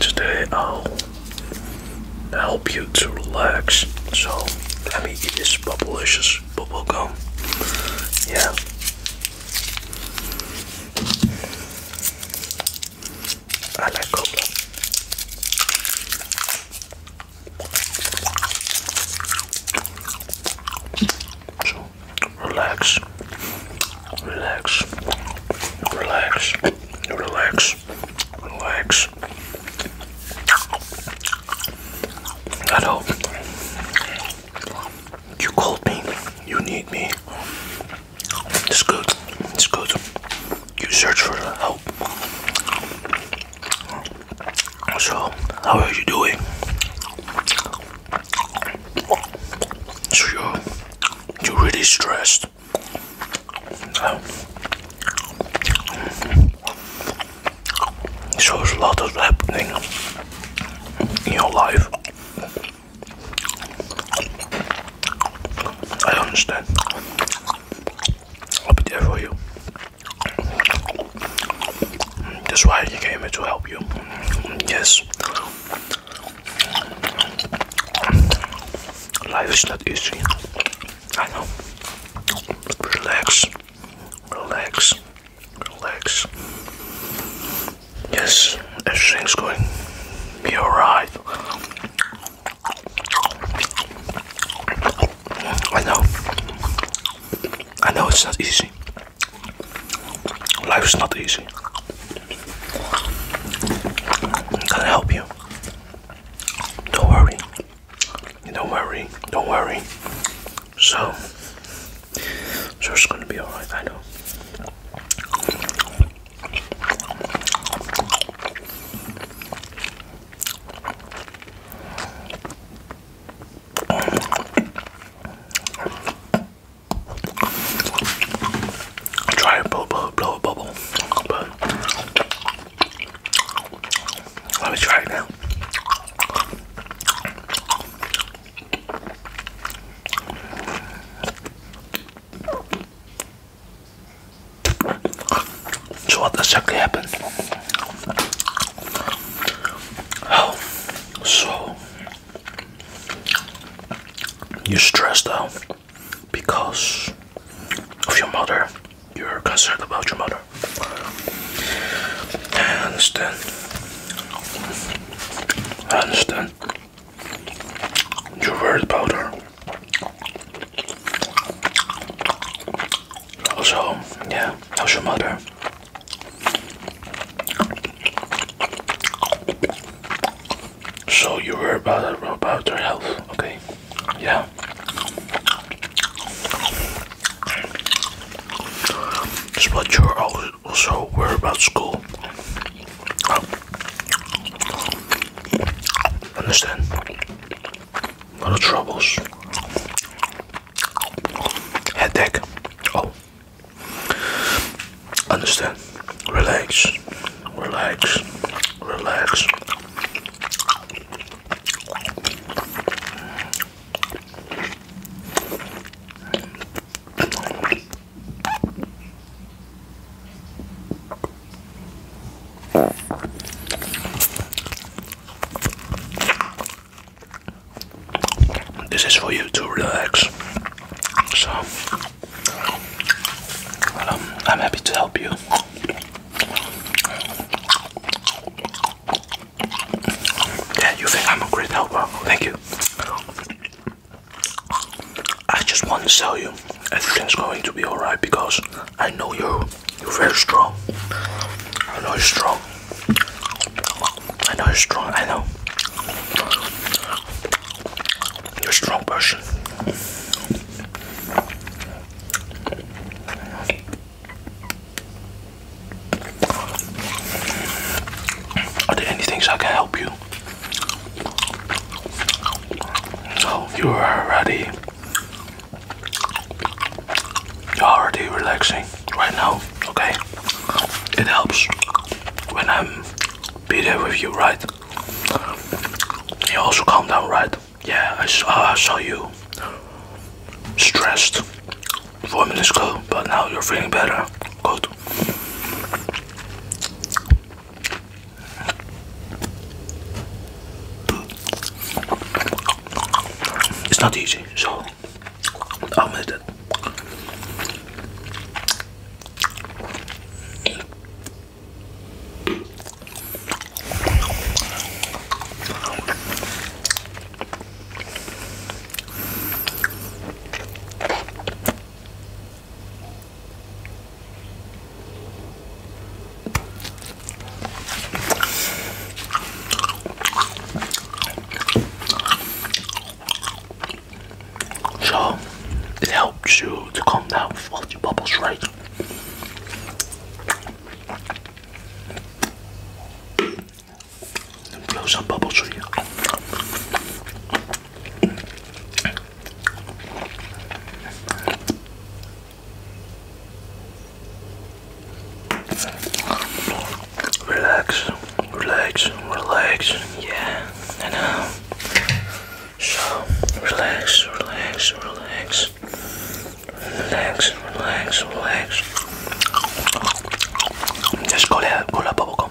Today I'll um, help you to relax. So let me eat this bubblicious bubble gum. Yeah. I like cola. So relax relax, relax, relax, relax, relax. I hope you called me, you need me. It's good, it's good. You search for help. So, how are you doing? So you're, you're really stressed. so there's a lot of happening in your life. I understand. I'll be there for you. That's why I came here to help you. Yes, Life is not easy. I know. Relax. Relax. Relax. Yes, everything's going be alright. I know. I know it's not easy. Life's not easy. I'm Can I help you? Don't worry. Don't worry. Don't worry. So, so it's gonna be alright. I know try to blow, a bubble, let me try it now. So what exactly happened? Oh, so you're stressed out because of your mother. You're concerned about your mother. and then, I understand. You're worried about her. Also, yeah, how's your mother? So you were about about your health, okay? Yeah. It's you're also worried about school. Understand? A lot of troubles headache. Oh, understand. Relax, relax, relax. This is for you to relax. So, um, I'm happy to help you. Yeah, you think I'm a great helper? Thank you. I just want to show you everything's going to be alright because I know you. You're very strong. I know you're strong. I know you're strong. I know. You're a strong person. Are there any things I can help you? So you are ready. You're already relaxing right now, okay? It helps when I'm be there with you, right? You also calm down, right? Yeah, I saw, I saw you stressed four minutes ago, but now you're feeling better. Good. It's not easy, so I'll admit it. So it helps you to calm down with your bubbles, right? And blow some bubbles Relax, relax, relax, yeah, I know. So, relax, relax, relax, relax, relax, relax. Just call it, call it bubble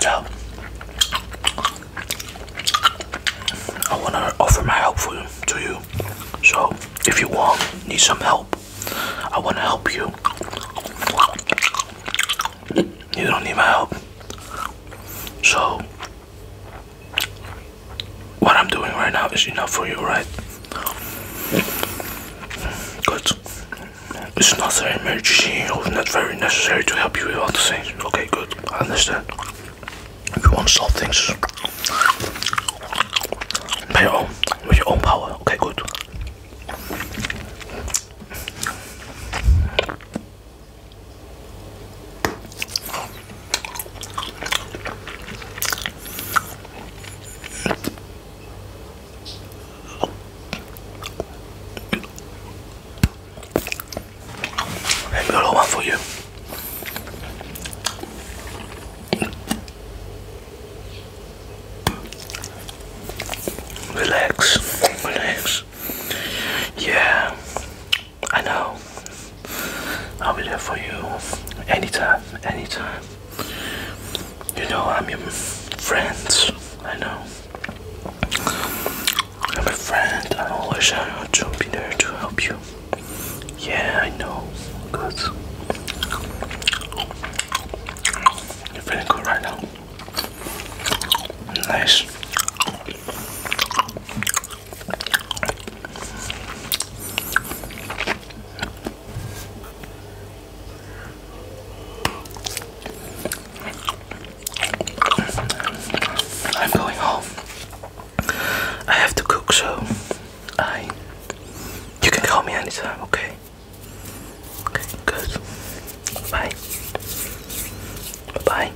So I want to offer my help for, to you. So if you want, need some help, I want to help you. You don't need my help. So what I'm doing right now is enough for you, right? Good. It's not an emergency or not very necessary to help you with all the things. Okay, good. I understand. you want to solve things by your own, with your own power. Okay, good. There's another one for you. Relax, relax. Yeah, I know. I'll be there for you anytime, anytime. You know, I'm your friend. I know. I'm a friend. I always want to be there to help you. Yeah, I know. Good. You're feeling good right now. Nice. I'm going home. I have to cook, so I. You can call me anytime, okay? Okay, good. Bye bye.